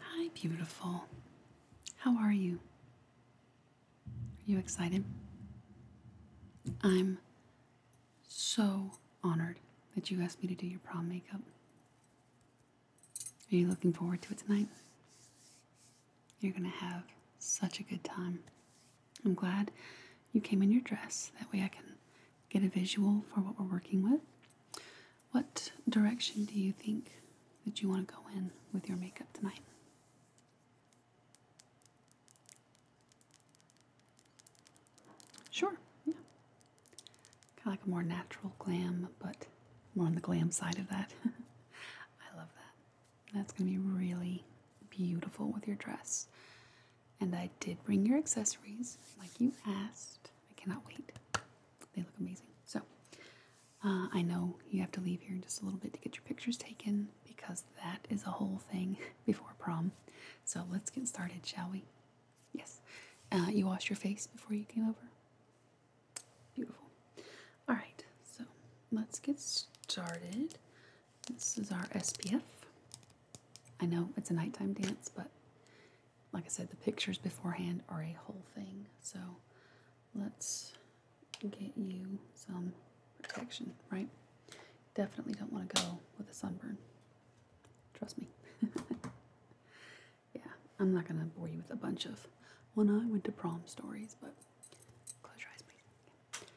Hi, beautiful. How are you? Are you excited? I'm so honored that you asked me to do your prom makeup. Are you looking forward to it tonight? You're going to have such a good time. I'm glad you came in your dress. That way I can get a visual for what we're working with. What direction do you think that you want to go in with your makeup tonight? Sure, yeah. Kind of like a more natural glam, but more on the glam side of that. I love that. That's going to be really beautiful with your dress. And I did bring your accessories, like you asked. I cannot wait. They look amazing. So, uh, I know you have to leave here in just a little bit to get your pictures taken because that is a whole thing before prom. So, let's get started, shall we? Yes. Uh, you washed your face before you came over? Beautiful. All right, so let's get started. This is our SPF. I know it's a nighttime dance, but like I said, the pictures beforehand are a whole thing. So let's get you some protection, right? Definitely don't want to go with a sunburn. Trust me. yeah, I'm not going to bore you with a bunch of when I went to prom stories, but close your eyes, please.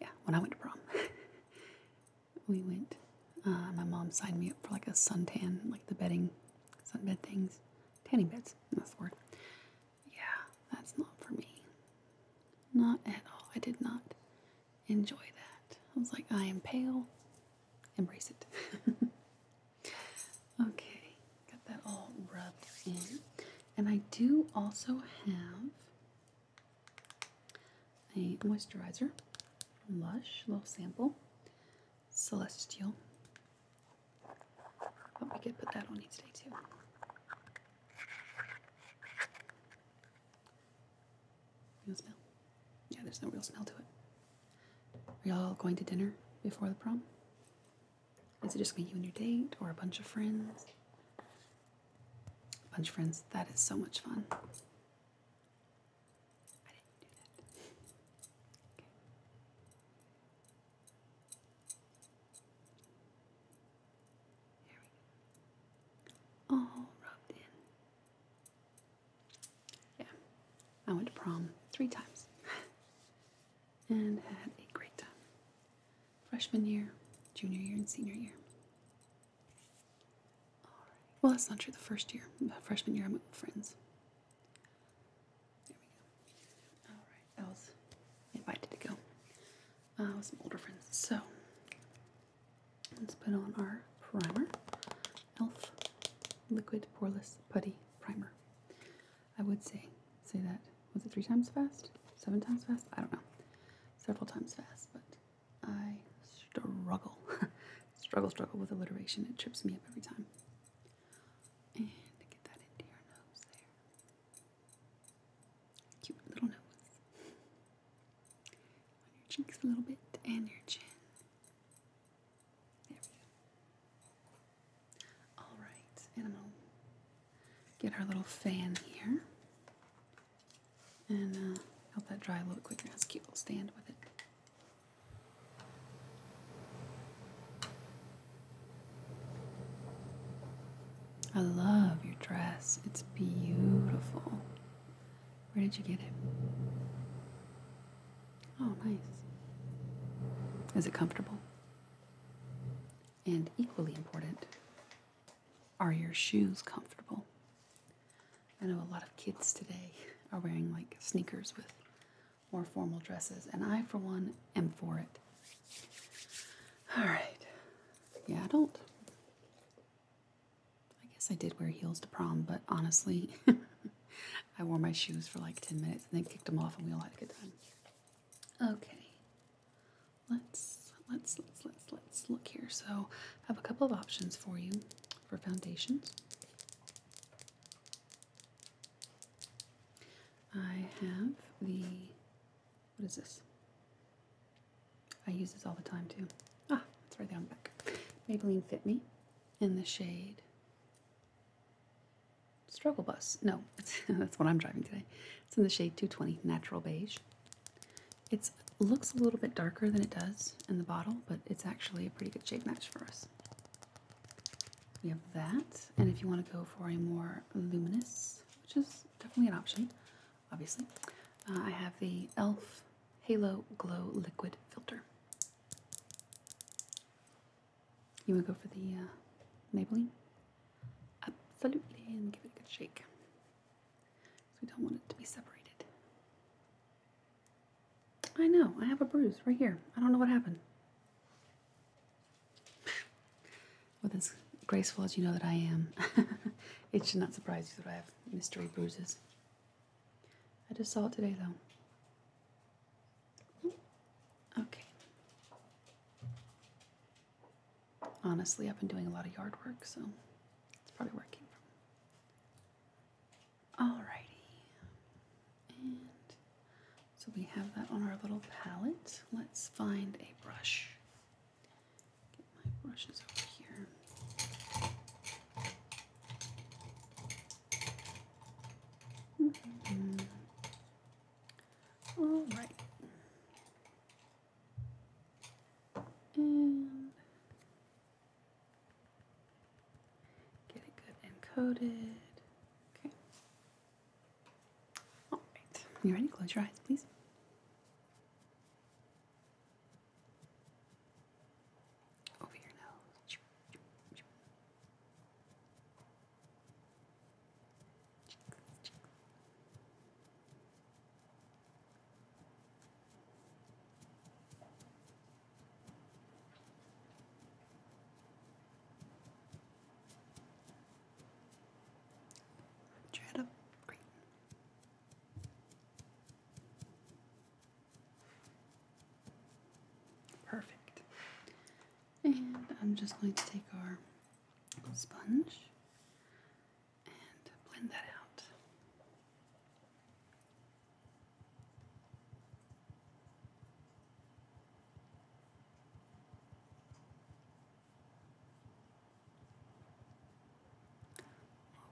Yeah, when I went to prom. we went. Uh, my mom signed me up for like a suntan, like the bedding, sunbed things, tanning beds. That's the word. Yeah, that's not for me. Not at all. I did not enjoy that. I was like, I am pale. Embrace it. okay, got that all rubbed in. And I do also have a moisturizer Lush, little sample. Celestial. But we could put that on each day too. You smell? Yeah, there's no real smell to it. Are y'all going to dinner before the prom? Is it just me, you and your date, or a bunch of friends? A bunch of friends, that is so much fun. I didn't do that. Okay. Here we go. All rubbed in. Yeah. I went to prom three times and had a great time. Freshman year, junior year, and senior year. Well, that's not true. The first year, freshman year, I met friends. There we go. All right. I invited to go uh, with some older friends. So let's put on our primer, Elf Liquid Porous Putty Primer. I would say say that was it three times fast, seven times fast? I don't know. Several times fast, but I struggle Struggle, struggle with alliteration. It trips me up every time. And get that into your nose there. Cute little nose. On your cheeks a little bit and your chin. There we go. Alright, and I'm going to get our little fan here and uh, help that dry a little quicker. That's cute little stand with it. I love your dress. It's beautiful. Where did you get it? Oh, nice. Is it comfortable? And equally important, are your shoes comfortable? I know a lot of kids today are wearing like sneakers with more formal dresses, and I, for one, am for it. All right. Yeah, I don't. I guess I did wear heels to prom, but honestly, I wore my shoes for like 10 minutes and then kicked them off, and we all had a good time. Okay. Let's let's let's let's let's look here. So I have a couple of options for you for foundations. I have the, what is this? I use this all the time too. Ah, it's right there on the back. Maybelline Fit Me in the shade Struggle Bus. No, that's what I'm driving today. It's in the shade 220 Natural Beige. It looks a little bit darker than it does in the bottle, but it's actually a pretty good shade match for us. We have that, and if you want to go for a more luminous, which is definitely an option, obviously, uh, I have the e.l.f. Halo Glow Liquid Filter. You want to go for the uh, Maybelline? Absolutely, and give it a good shake. So we don't want it to be separated. I know, I have a bruise right here. I don't know what happened. With as graceful as you know that I am, it should not surprise you that I have mystery bruises. I just saw it today, though. Okay. Honestly, I've been doing a lot of yard work, so it's probably working. it came Alrighty. And so we have that on our little palette. Let's find a brush. Get my brushes over here. Mm-hmm. All right. And Get it good and coated. Okay. All right. You ready? Close your eyes, please. Over your nose. Try to green. Perfect. And I'm just going to take our sponge and blend that out.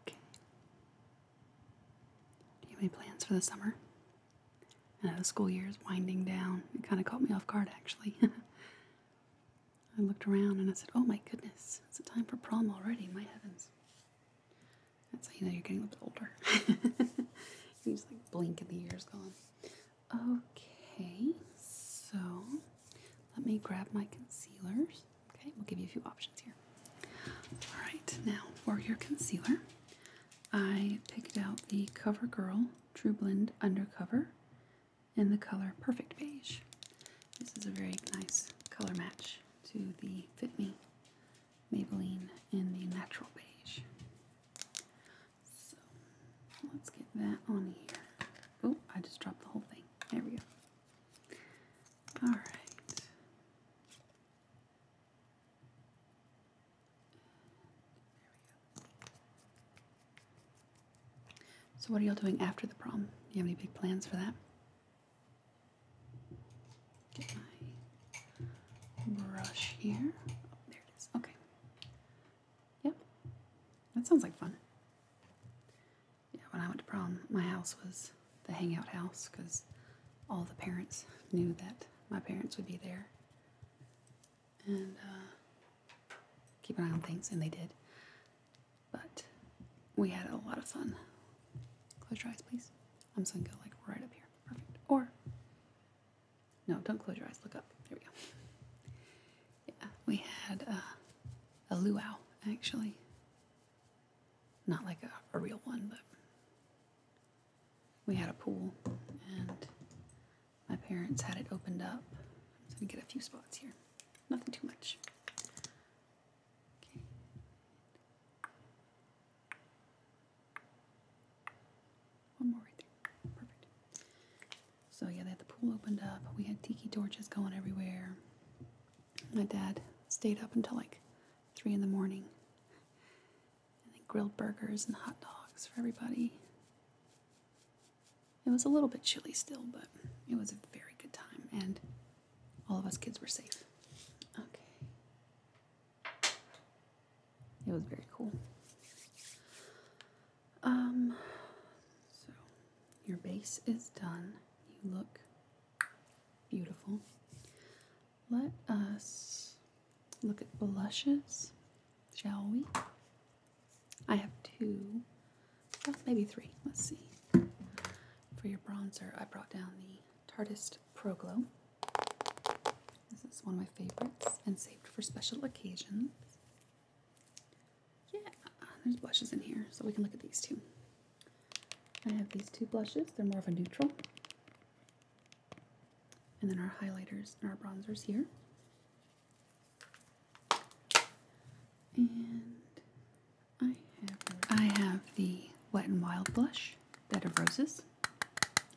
Okay. Do you have any plans for the summer? I know the school year is winding down. It kind of caught me off guard, actually. I looked around and I said, Oh my goodness, it's a time for prom already, my heavens. That's how you know you're getting a little bit older. you just like blink and the years has gone. Okay, so let me grab my concealers. Okay, we'll give you a few options here. All right, now for your concealer, I picked out the CoverGirl True Blend Undercover in the color Perfect Beige. This is a very nice color match to the Fit Me Maybelline in the natural beige. So let's get that on here. Oh, I just dropped the whole thing. There we go. Alright. So, what are y'all doing after the prom? Do You have any big plans for that? Get my brush here. Oh, there it is. Okay. Yep. That sounds like fun. Yeah, when I went to prom, my house was the hangout house because all the parents knew that my parents would be there and uh, keep an eye on things, and they did. But we had a lot of fun. Close your eyes, please. I'm just gonna go like right up here. Perfect. Or no, don't close your eyes. Look up. There we go. Yeah, we had uh, a, luau actually. Not like a, real one, but we had a pool and my parents had it opened up. I'm gonna get a few spots here. Nothing too much. Okay. One more right there. Perfect. So yeah, they had the pool opened up. We had tiki torches going everywhere. My dad stayed up until like three in the morning. And they grilled burgers and hot dogs for everybody. It was a little bit chilly still, but it was a very good time. And all of us kids were safe. Okay. It was very cool. Um, so your base is done. You look beautiful. Let us look at blushes, shall we? I have two, well, maybe three. Let's see. For your bronzer, I brought down the Tardist Pro Glow. This is one of my favorites and saved for special occasions. Yeah, uh, there's blushes in here, so we can look at these two. I have these two blushes, they're more of a neutral. And then our highlighters and our bronzers here. And I have, the Wet and Wild blush, Bed of Roses.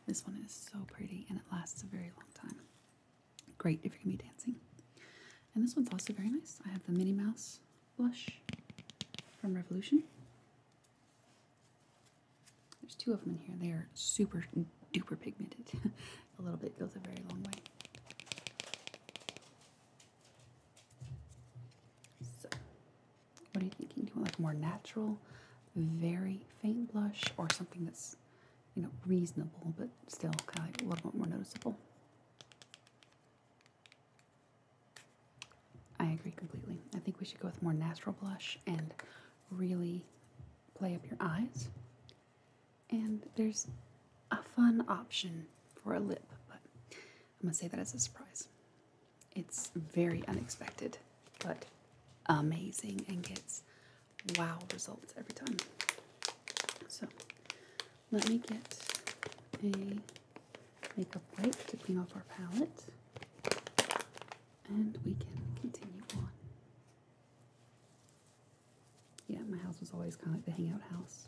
This one is so pretty and it lasts a very long time. Great if you're going to be dancing. And this one's also very nice. I have the Minnie Mouse blush from Revolution. There's two of them in here. They are super duper pigmented. a little bit goes a very long way. So, what are you thinking? Do you want like more natural, very faint blush, or something that's you know reasonable but still kind of a little bit more noticeable? I agree completely. I think we should go with more natural blush and really play up your eyes. And there's a fun option for a lip, but I'm gonna say that as a surprise. It's very unexpected, but amazing and gets wow results every time. So let me get a makeup wipe to clean off our palette and we can continue on. Yeah, my house was always kind of like the hangout house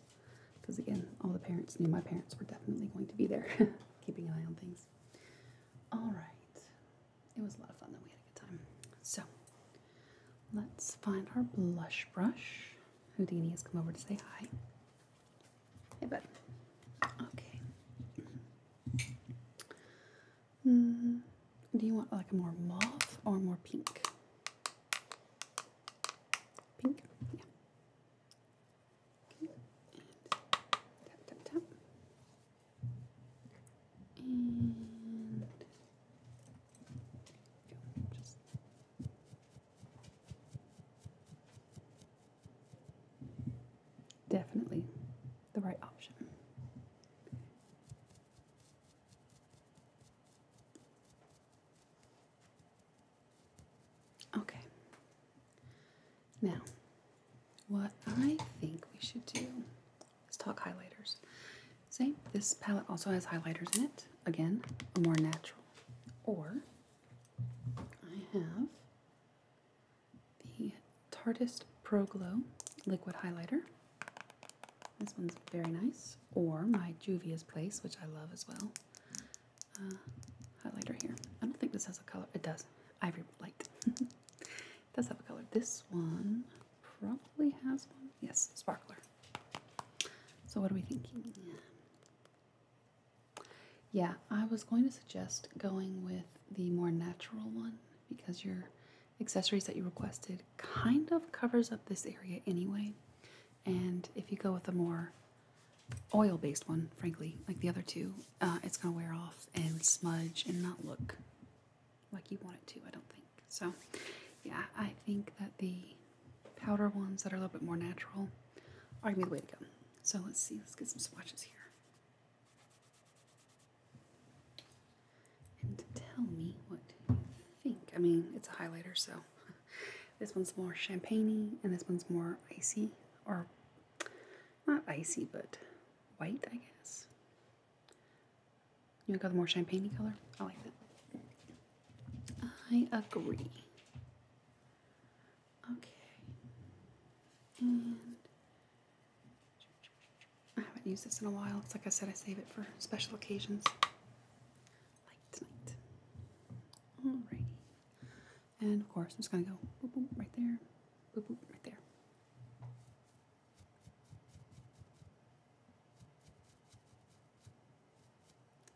because, again, all the parents knew my parents were definitely going to be there. keeping an eye on things. All right, it was a lot of fun. that we had a good time. So let's find our blush brush. Houdini has come over to say hi. Hey, bud. Okay. Mm-hmm. do you want like a more mauve or more pink? Pink. Yeah. And tap, tap, tap. And Definitely the right option. Okay. Now, what I think we should do is talk highlighters. See, this palette also has highlighters in it. Again, more natural. Or, I have the Tartest Pro Glow Liquid Highlighter. This one's very nice. Or my Juvia's Place, which I love as well. Uh, highlighter here. I don't think this has a color. It does. Ivory light. it does have a color. This one probably has one. Yes, sparkler. So what are we thinking? Yeah, I was going to suggest going with the more natural one because your accessories that you requested kind of covers up this area anyway. And if you go with a more oil based one, frankly, like the other two, uh, it's going to wear off and smudge and not look like you want it to, I don't think. So, yeah, I think that the powder ones that are a little bit more natural are going to be the way to go. So, let's see, let's get some swatches here. And tell me what you think. I mean, it's a highlighter, so this one's more champagne and this one's more icy or not icy but white I guess. You want go the more champagne color? I like that. I agree. Okay. And I haven't used this in a while. It's like I said, I save it for special occasions like tonight. Alrighty. And of course, I'm just going to go boop, boop, right there, boop, boop, right there.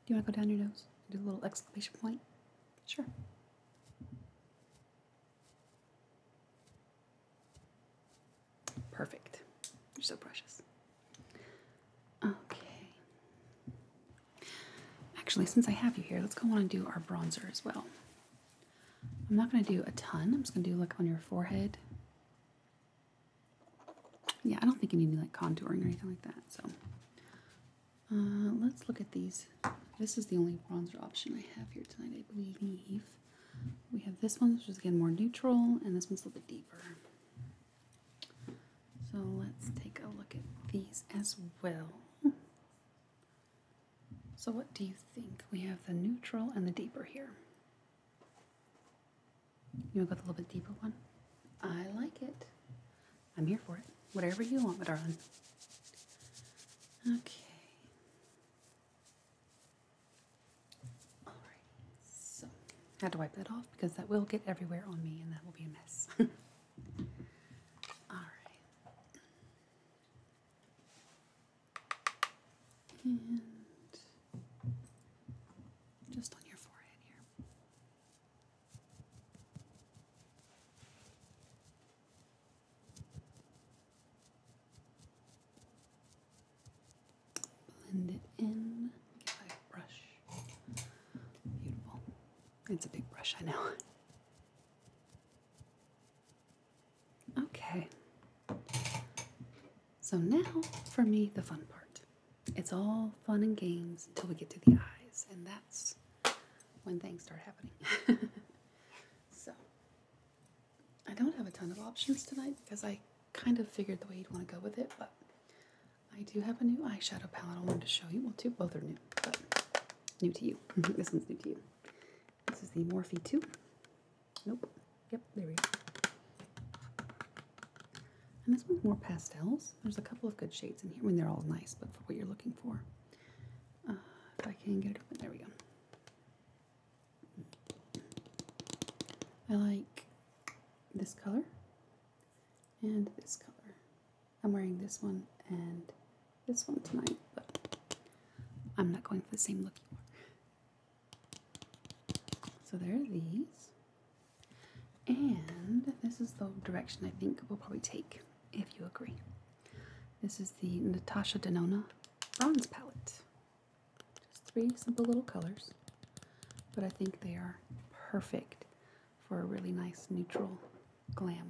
Do you want to go down your nose and do a little exclamation point? Sure. Perfect. You're so precious. Okay. Actually, since I have you here, let's go on and do our bronzer as well. I'm not going to do a ton. I'm just going to do like on your forehead. Yeah, I don't think you need any like contouring or anything like that. So uh, let's look at these. This is the only bronzer option I have here tonight, I believe. We have this one, which is again more neutral, and this one's a little bit deeper. So let's take a look at these as well. So what do you think? We have the neutral and the deeper here. You want the little bit deeper one? I like it. I'm here for it. Whatever you want, my darling. Okay. All right. So, I had to wipe that off because that will get everywhere on me and that will be a mess. All right. And just on your forehead here. Blend it in. Give it brush. Beautiful. It's a big brush, I know. Okay. So now, for me, the fun part. It's all fun and games until we get to the eyes, and that's when things start happening. so, I don't have a ton of options tonight because I kind of figured the way you'd want to go with it, but I do have a new eyeshadow palette I wanted to show you. Well, two, both are new, but new to you. this one's new to you. This is the Morphe 2. Nope. Yep, there we go. And this one's more pastels. There's a couple of good shades in here. I mean, they're all nice, but for what you're looking for. Uh, if I can get it open, there we go. I like this color and this color. I'm wearing this one and this one tonight, but I'm not going for the same look So there are these. And this is the direction I think we'll probably take, if you agree. This is the Natasha Denona Bronze Palette. Just three simple little colors, but I think they are perfect for a really nice neutral glam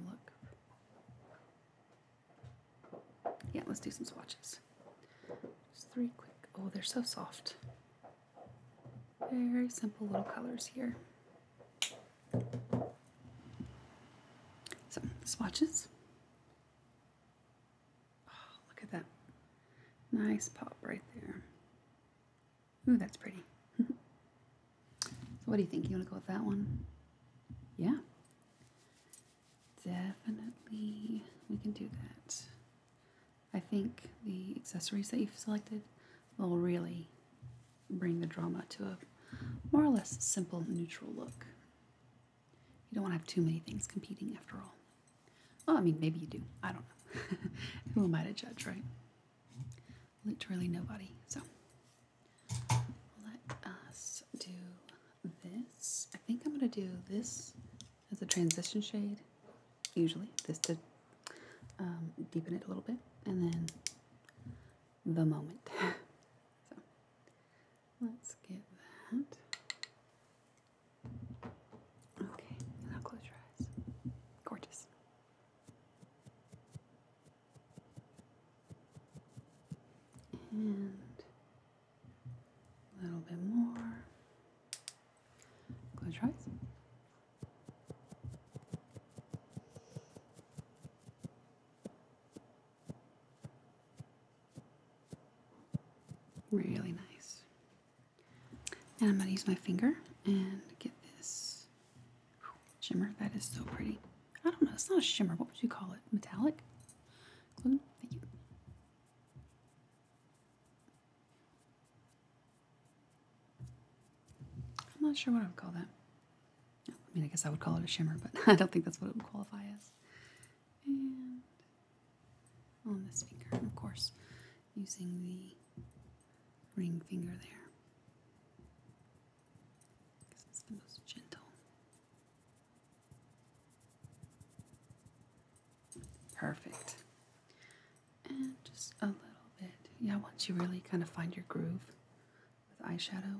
look. Yeah, let's do some swatches. Just three quick. Oh, they're so soft. Very simple little colors here. Some swatches. Oh, look at that. Nice pop right there. Ooh, that's pretty. so what do you think? You want to go with that one? Yeah. Definitely, we can do that. I think the accessories that you've selected will really bring the drama to a more or less simple, neutral look. You don't want to have too many things competing after all. Well, I mean, maybe you do. I don't know. Who am I to judge, right? literally nobody. So let us do this. I think I'm going to do this as a transition shade, usually, this to um, deepen it a little bit, and then the moment. so let's get that. Okay, now close your eyes. Gorgeous. And a little bit more. Close your eyes. Really nice. And I'm going to use my finger and get this Shimmer, that is so pretty. I don't know, it's not a shimmer. What would you call it? Metallic? Thank you. I'm not sure what I would call that. I mean, I guess I would call it a shimmer, but I don't think that's what it would qualify as. And on this finger, of course, using the ring finger there. Because it's the most gentle. Perfect. And just a little bit. Yeah, once you really kind of find your groove with eyeshadow,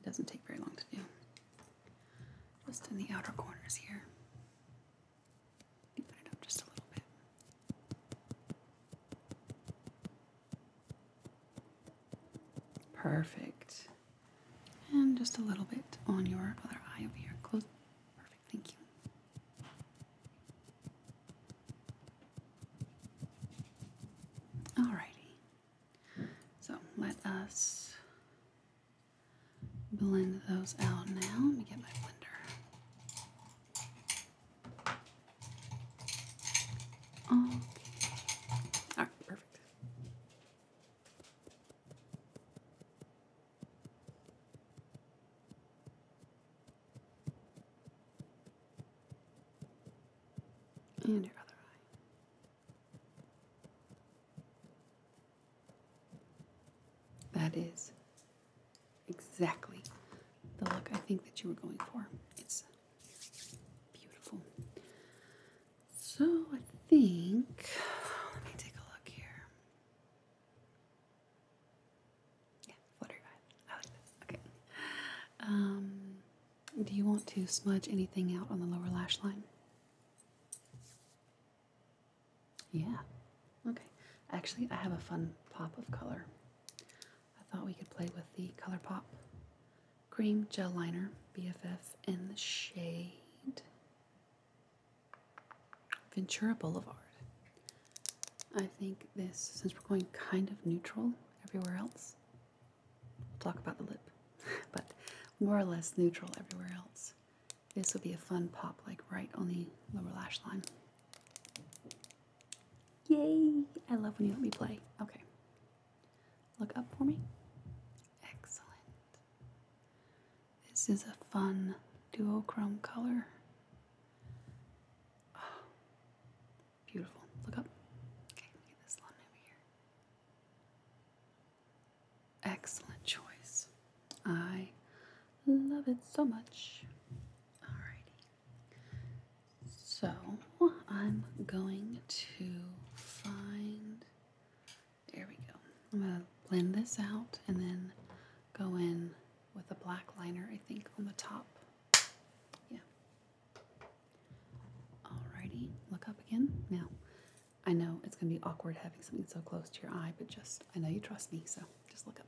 it doesn't take very long to do. Just in the outer corners here. Deepen it up just a little bit. Perfect. And just a little bit on your other eye over here. Close. Perfect. Thank you. Alrighty. So let us blend those out now. Let me get my blender. Okay. All right, perfect. And your other eye. That is exactly the look I think that you were going for. It's beautiful. So I think, let me take a look here. Yeah, flutter guide. I like Okay. Um, do you want to smudge anything out on the lower lash line? Yeah. Okay. Actually, I have a fun pop of color. I thought we could play with the ColourPop Cream Gel Liner BFF in the shade Ventura Boulevard. I think this, since we're going kind of neutral everywhere else, we'll talk about the lip, but more or less neutral everywhere else. This will be a fun pop, like right on the lower lash line. Yay! I love when you let me play. Okay. Look up for me. Excellent. This is a fun duochrome color. Ah. beautiful. Look up. Okay, get this one over here. Excellent choice. I love it so much. Alrighty. So I'm going to find, there we go. I'm going to blend this out and then go in with a black liner, I think, on the top. Yeah. Alrighty, look up again. Now, I know it's going to be awkward having something so close to your eye, but just, I know you trust me, so just look up.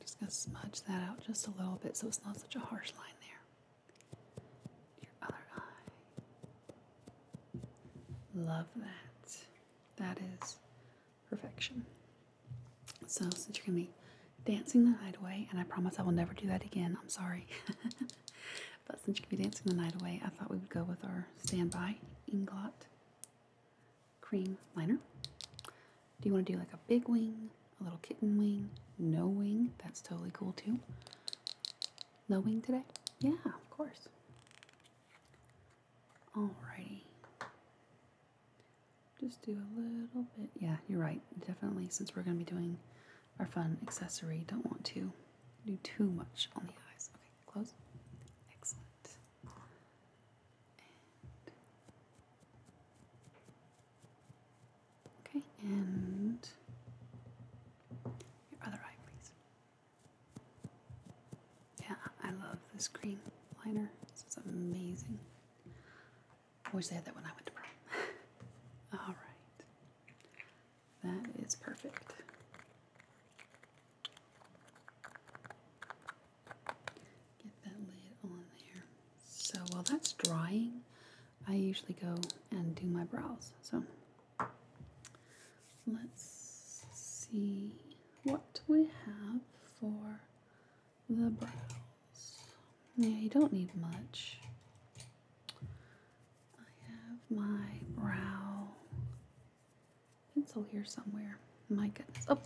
Just going to smudge that out just a little bit so it's not such a harsh line there. Your other eye. Love that. That is perfection. So, since you're going to be dancing the night away, and I promise I will never do that again, I'm sorry. but since you're going to be dancing the night away, I thought we would go with our standby ingot cream liner. Do you want to do like a big wing, a little kitten wing, no wing? That's totally cool too. No wing today? Yeah, of course. Alrighty. Just do a little bit. Yeah, you're right. Definitely, since we're going to be doing our fun accessory, don't want to do too much on the eyes. Okay, close. Excellent okay, and your other eye, please. Yeah, I love this green liner. This is amazing. I wish they had that when I went to prom. All right. That is perfect. Get that lid on there. So while that's drying, I usually go and do my brows. So let's see what we have for the brows. Yeah, you don't need much. I have my brow pencil here somewhere. My goodness. Oh,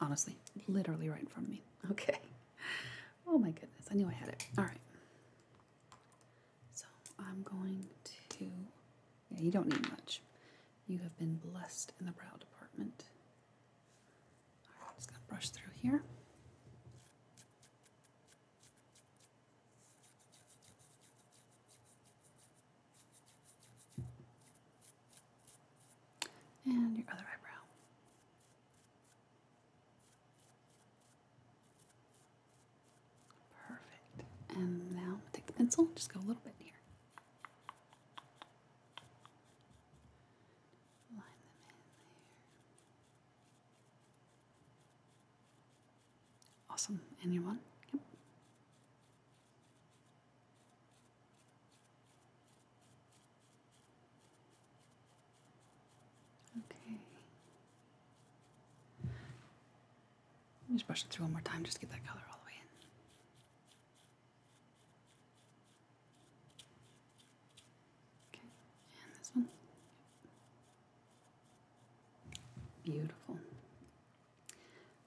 honestly, literally right in front of me. Okay. Oh my goodness, I knew I had it. All right. So I'm going to, yeah, you don't need much. You have been blessed in the brow department. All right, I'm just going to brush through here. And your other eyebrow. Perfect. And now I'm going to take the pencil, just go a little bit here. Line them in there. Awesome. Anyone? Yep. Okay. Let me just brush it through one more time, just to get that color all the way in. Okay, and this one. Beautiful.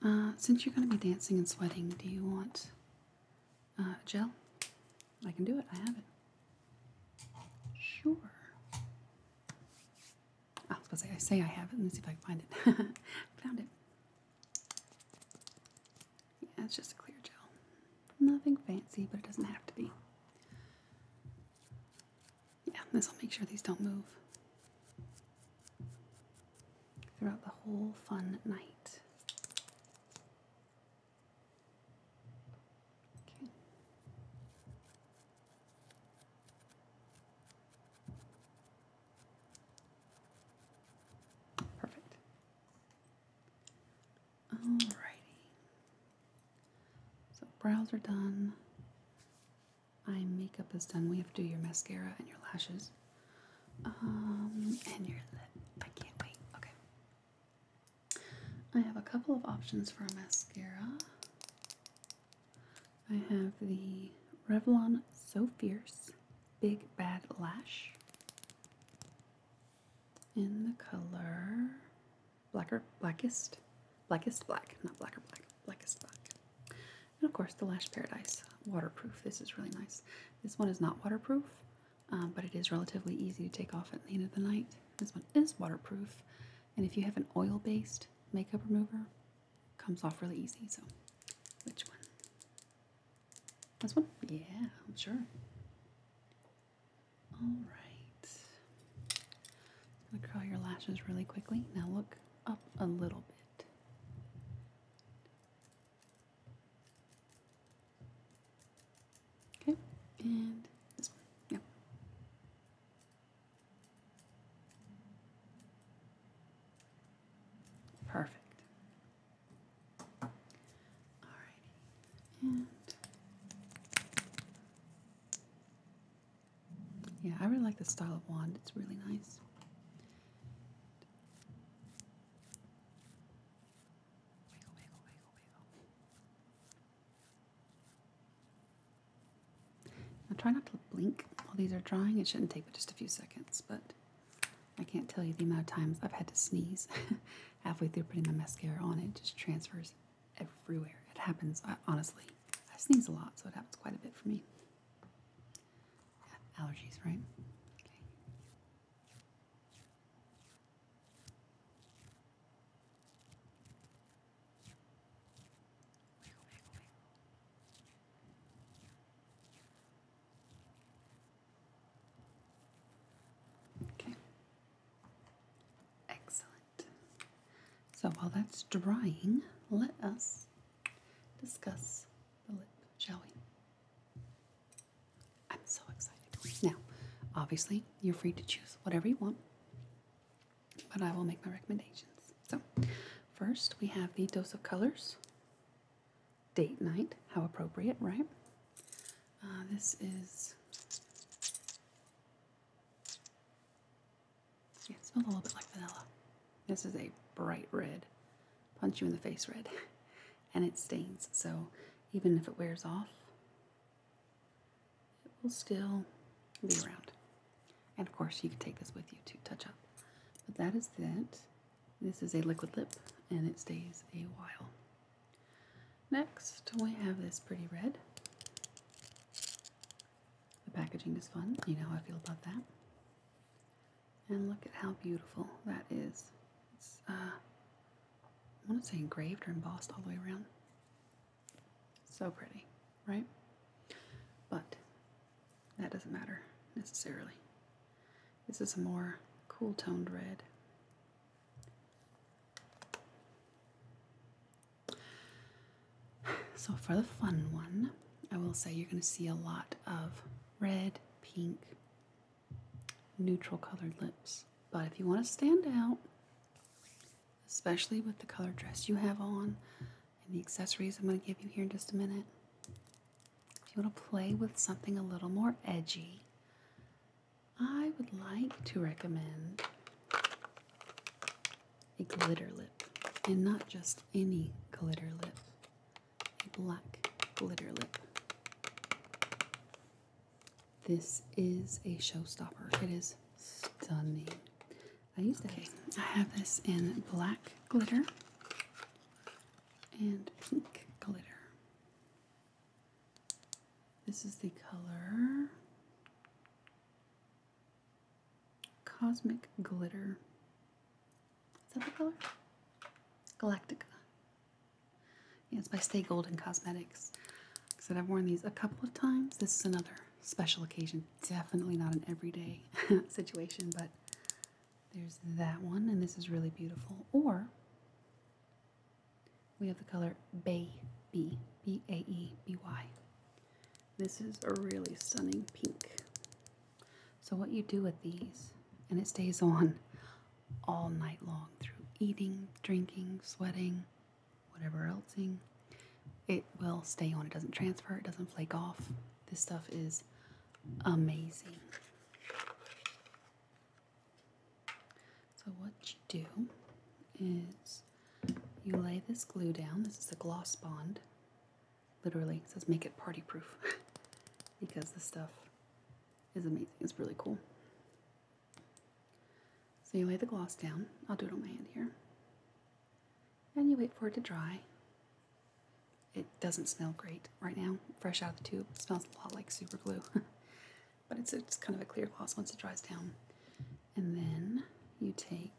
Uh, since you're going to be dancing and sweating, do you want uh, gel? I can do it. I have it. Sure. I was going to say, I say I have it. Let me see if I can find it. Found it. Yeah, it's just a clear gel. Nothing fancy, but it doesn't have to be. Yeah, this will make sure these don't move throughout the whole fun night. Okay. Perfect. Alrighty. So brows are done my makeup is done. We have to do your mascara and your lashes. Um, and your lip. I can't wait. Okay. I have a couple of options for a mascara. I have the Revlon So Fierce Big Bad Lash in the color blacker blackest blackest black not blacker black blackest black and of course, the Lash Paradise waterproof. This is really nice. This one is not waterproof, um, but it is relatively easy to take off at the end of the night. This one is waterproof, and if you have an oil based makeup remover, comes off really easy. So, which one? This one? Yeah, I'm sure. All right. I'm gonna curl your lashes really quickly. Now look up a little bit. Okay, and this one. yeah, Perfect. All righty. And yeah, I really like the style of wand. It's really nice. I'll try not to blink while these are drying. It shouldn't take but just a few seconds, but I can't tell you the amount of times I've had to sneeze halfway through putting my mascara on. It just transfers everywhere. It happens, honestly. I sneeze a lot, so it happens quite a bit for me allergies, right? Okay. Okay. Excellent. So while that's drying, let us discuss shall we? I'm so excited. Now, obviously, you're free to choose whatever you want, but I will make my recommendations. So, first we have the Dose of Colors Date Night. How appropriate, right? Uh, this is. it smells a little bit like vanilla. This is a bright red, punch you in the face red, and it stains. So even if it wears off, it will still be around. And of course, you can take this with you to touch up. But that is it. This is a liquid lip, and it stays a while. Next, we have this pretty red. The packaging is fun. You know how I feel about that. And look at how beautiful that is. It's, uh, I want to say engraved or embossed all the way around. So pretty, right? But that doesn't matter necessarily. This is a more cool toned red. So for the fun one, I will say you're going to see a lot of red, pink, neutral colored lips. But if you want to stand out, especially with the color dress you have on and the accessories I'm going to give you here in just a minute, if you want to play with something a little more edgy, I would like to recommend a glitter lip and not just any glitter lip black glitter lip. This is a showstopper. It is stunning. I use that. I have this in black glitter and pink glitter. This is the color Cosmic Glitter. Is that the color? Galactica. Yeah, it's by Stay Golden Cosmetics. I said, I've worn these a couple of times. This is another special occasion. Definitely not an everyday situation, but there's that one, and this is really beautiful. Or we have the color Baby, B-A-E-B-Y. This is a really stunning pink. So, what you do with these, and it stays on all night long through eating, drinking, sweating, whatever elseing, it will stay on. It doesn't transfer, it doesn't flake off. This stuff is amazing. So, what you do is you lay this glue down. This is the gloss bond. Literally says make it party proof because the stuff is amazing. It's really cool. So you lay the gloss down. I'll do it on my hand here. And you wait for it to dry. It doesn't smell great right now, fresh out of the tube. It smells a lot like super glue. but it's, it's kind of a clear gloss once it dries down. And then you take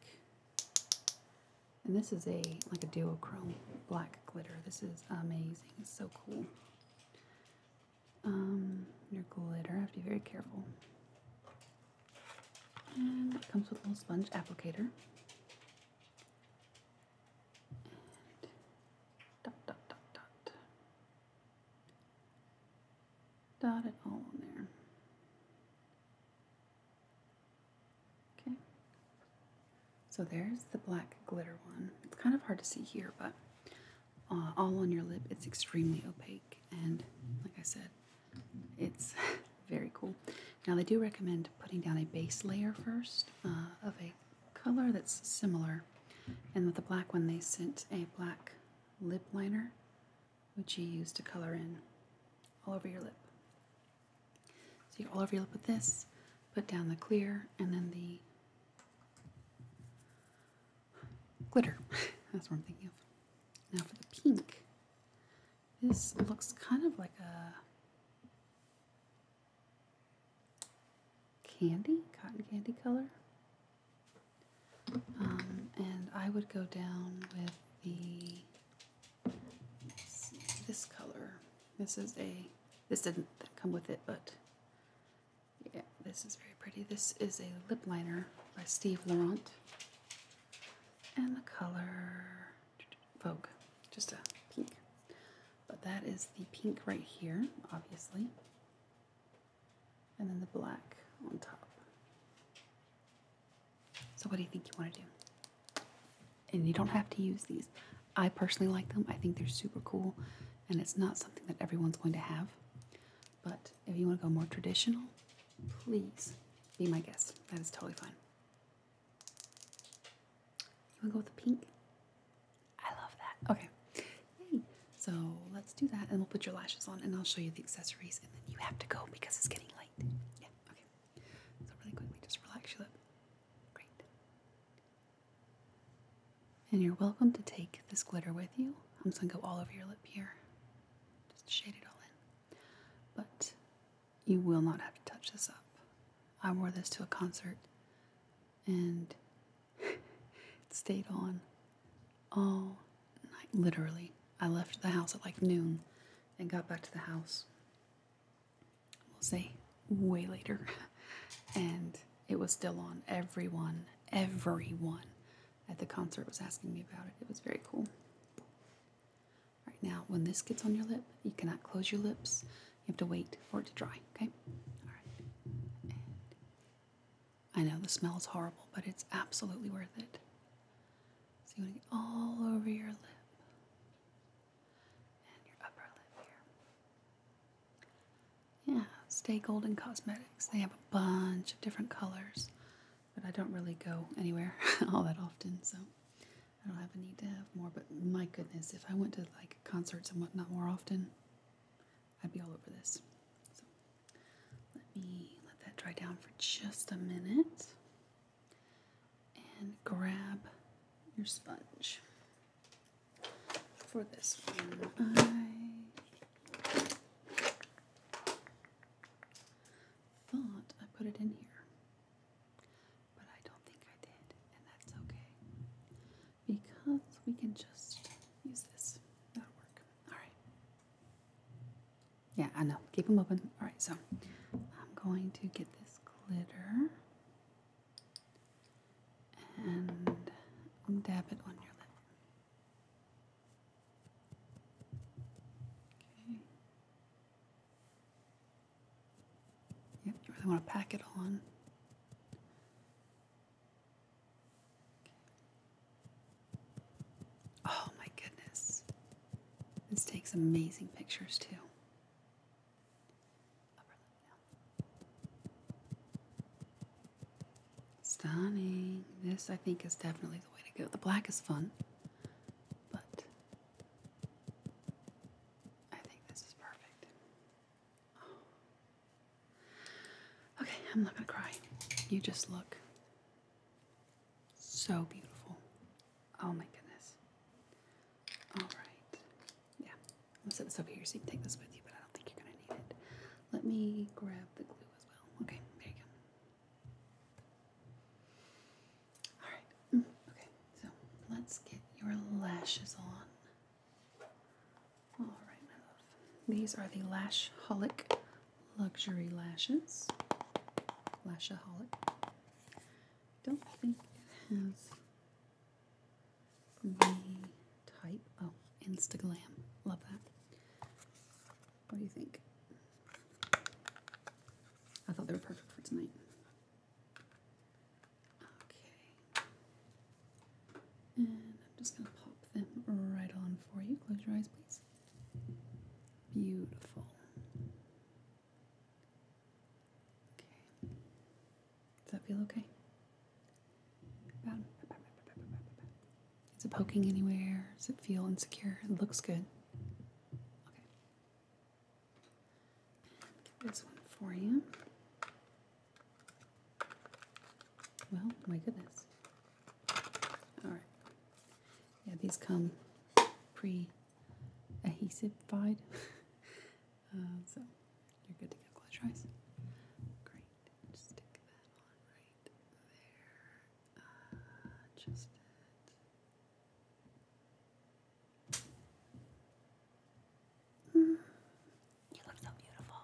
and this is a like a duochrome black glitter. This is amazing. so cool. Um, your glitter. I have to be very careful. And it comes with a little sponge applicator. dot dot dot dot. Dot it all on there. Okay. So there's the black glitter one. It's kind of hard to see here, but uh, all on your lip, it's extremely opaque. And like I said, it's very cool. Now, they do recommend putting down a base layer first uh, of a color that's similar. And with the black one, they sent a black lip liner, which you use to color in all over your lip. So you all overlap with this, put down the clear, and then the glitter. That's what I'm thinking of. Now for the pink. This looks kind of like a candy, cotton candy color. Um, and I would go down with the this color. This is a, this didn't come with it, but yeah, this is very pretty. This is a lip liner by Steve Laurent. And the color Vogue, just a pink. But that is the pink right here, obviously. And then the black on top. So, what do you think you want to do? And you don't have to use these. I personally like them, I think they're super cool, and it's not something that everyone's going to have. But if you want to go more traditional, please be my guest. That is totally fine. You want to go with the pink? I love that. Okay. Yay. So let's do that, and we'll put your lashes on, and I'll show you the accessories, and then you have to go because it's getting late. Yeah, okay. So really quickly, just relax your lip. Great. And you're welcome to take this glitter with you. I'm just gonna go all over your lip here, just shade it all in. But you will not have to touch this up. I wore this to a concert and it stayed on all night, literally. I left the house at like noon and got back to the house we'll say way later, and it was still on. Everyone, everyone at the concert was asking me about it. It was very cool. Right now, when this gets on your lip, you cannot close your lips. You have to wait for it to dry. Okay. All right. I know the smell is horrible, but it's absolutely worth it. So you want to get all over your lip. Yeah, Stay Golden Cosmetics. They have a bunch of different colors, but I don't really go anywhere all that often, so I don't have a need to have more. But my goodness, if I went to like concerts and whatnot more often, I'd be all over this. So let me let that dry down for just a minute and grab your sponge. For this one, I thought I put it in here, but I don't think I did, and that's okay because we can just use this. That'll work. All right. Yeah, I know. Keep them open. All right, so I'm going to get this glitter and dab it on your lip. Okay. Yep, you really want to pack it on. Oh my goodness. This takes amazing pictures too. Stunning. This, I think, is definitely the way to go. The black is fun, but I think this is perfect. Oh. Okay, I'm not gonna cry. You just look so beautiful. Oh my goodness. All right. Yeah. I'll set this over here so you can take this with you, but I don't think you're going to need it. Let me grab the glue as well. Okay, there you go. All right. Mm, okay, so let's get your lashes on. All right, my love. These are the Lashholic Luxury Lashes. Lashaholic don't think it has the type. Oh, Instagram. Love that. What do you think? I thought they were perfect for tonight. Okay. And I'm just going to pop them right on for you. Close your eyes, please. Beautiful. Okay. Does that feel okay? Is it poking anywhere? Does it feel insecure? It looks good. Okay. this one for you. Well, my goodness. All right. Yeah, these come pre adhesive-fied. Uh, so you're good to go. Close Great. stick that right there. Uh, it. You look so beautiful.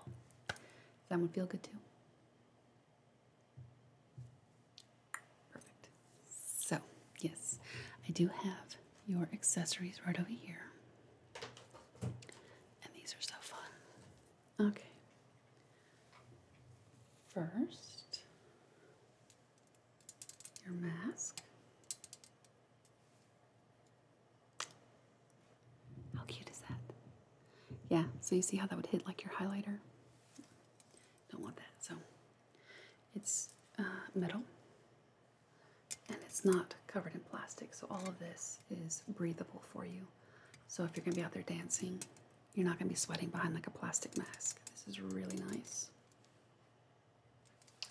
that one feel good too? Perfect. So, yes, I do have your accessories right over here. And these are so fun. Okay. First, your mask. How cute is that? Yeah, so you see how that would hit like your highlighter? Don't want that, so it's uh, metal and it's not covered in plastic, so all of this is breathable for you. So if you're going to be out there dancing, you're not going to be sweating behind like a plastic mask. This is really nice.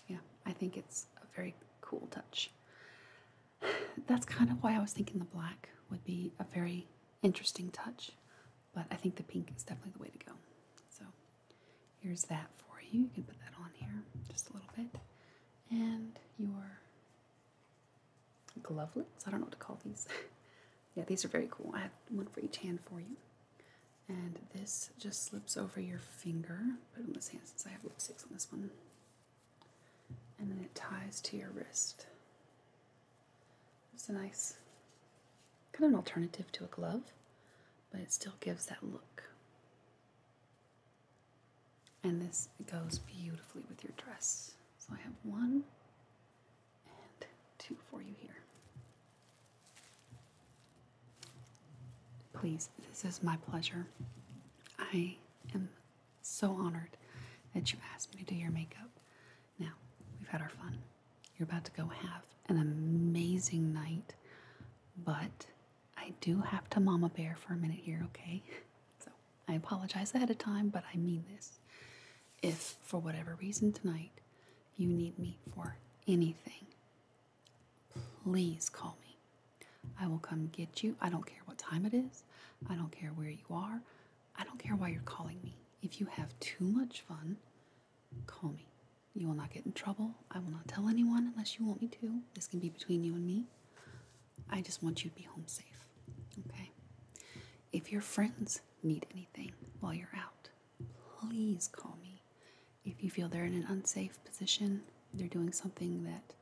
Yeah, I think it's a very cool touch. That's kind of why I was thinking the black would be a very interesting touch, but I think the pink is definitely the way to go. So. Here's that for you. You can put that on here just a little bit. And your glovelets. I don't know what to call these. yeah, these are very cool. I have one for each hand for you. And this just slips over your finger. Put it on this hand since I have lipsticks on this one. And then it ties to your wrist. It's a nice, kind of an alternative to a glove but it still gives that look. And this goes beautifully with your dress. So I have one and two for you here. Please, this is my pleasure. I am so honored that you asked me to do your makeup. Now, we've had our fun. You're about to go have an amazing night, but I do have to mama bear for a minute here, okay? So I apologize ahead of time, but I mean this. If for whatever reason tonight you need me for anything, please call me. I will come get you. I don't care what time it is, I don't care where you are, I don't care why you're calling me. If you have too much fun, call me. You will not get in trouble. I will not tell anyone unless you want me to. This can be between you and me. I just want you to be home safe. Okay? If your friends need anything while you're out, please call me. If you feel they're in an unsafe position, they're doing something that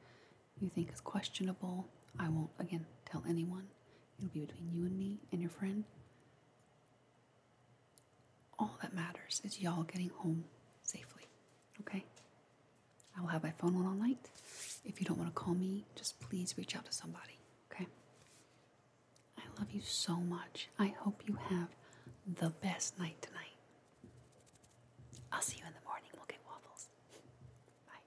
you think is questionable, I won't, again, tell anyone. It'll be between you and me and your friend. All that matters is y'all getting home safely, okay? I will have my phone on all night. If you don't want to call me, just please reach out to somebody, okay? I love you so much. I hope you have the best night tonight. I'll see you in the morning. We'll get waffles. Bye.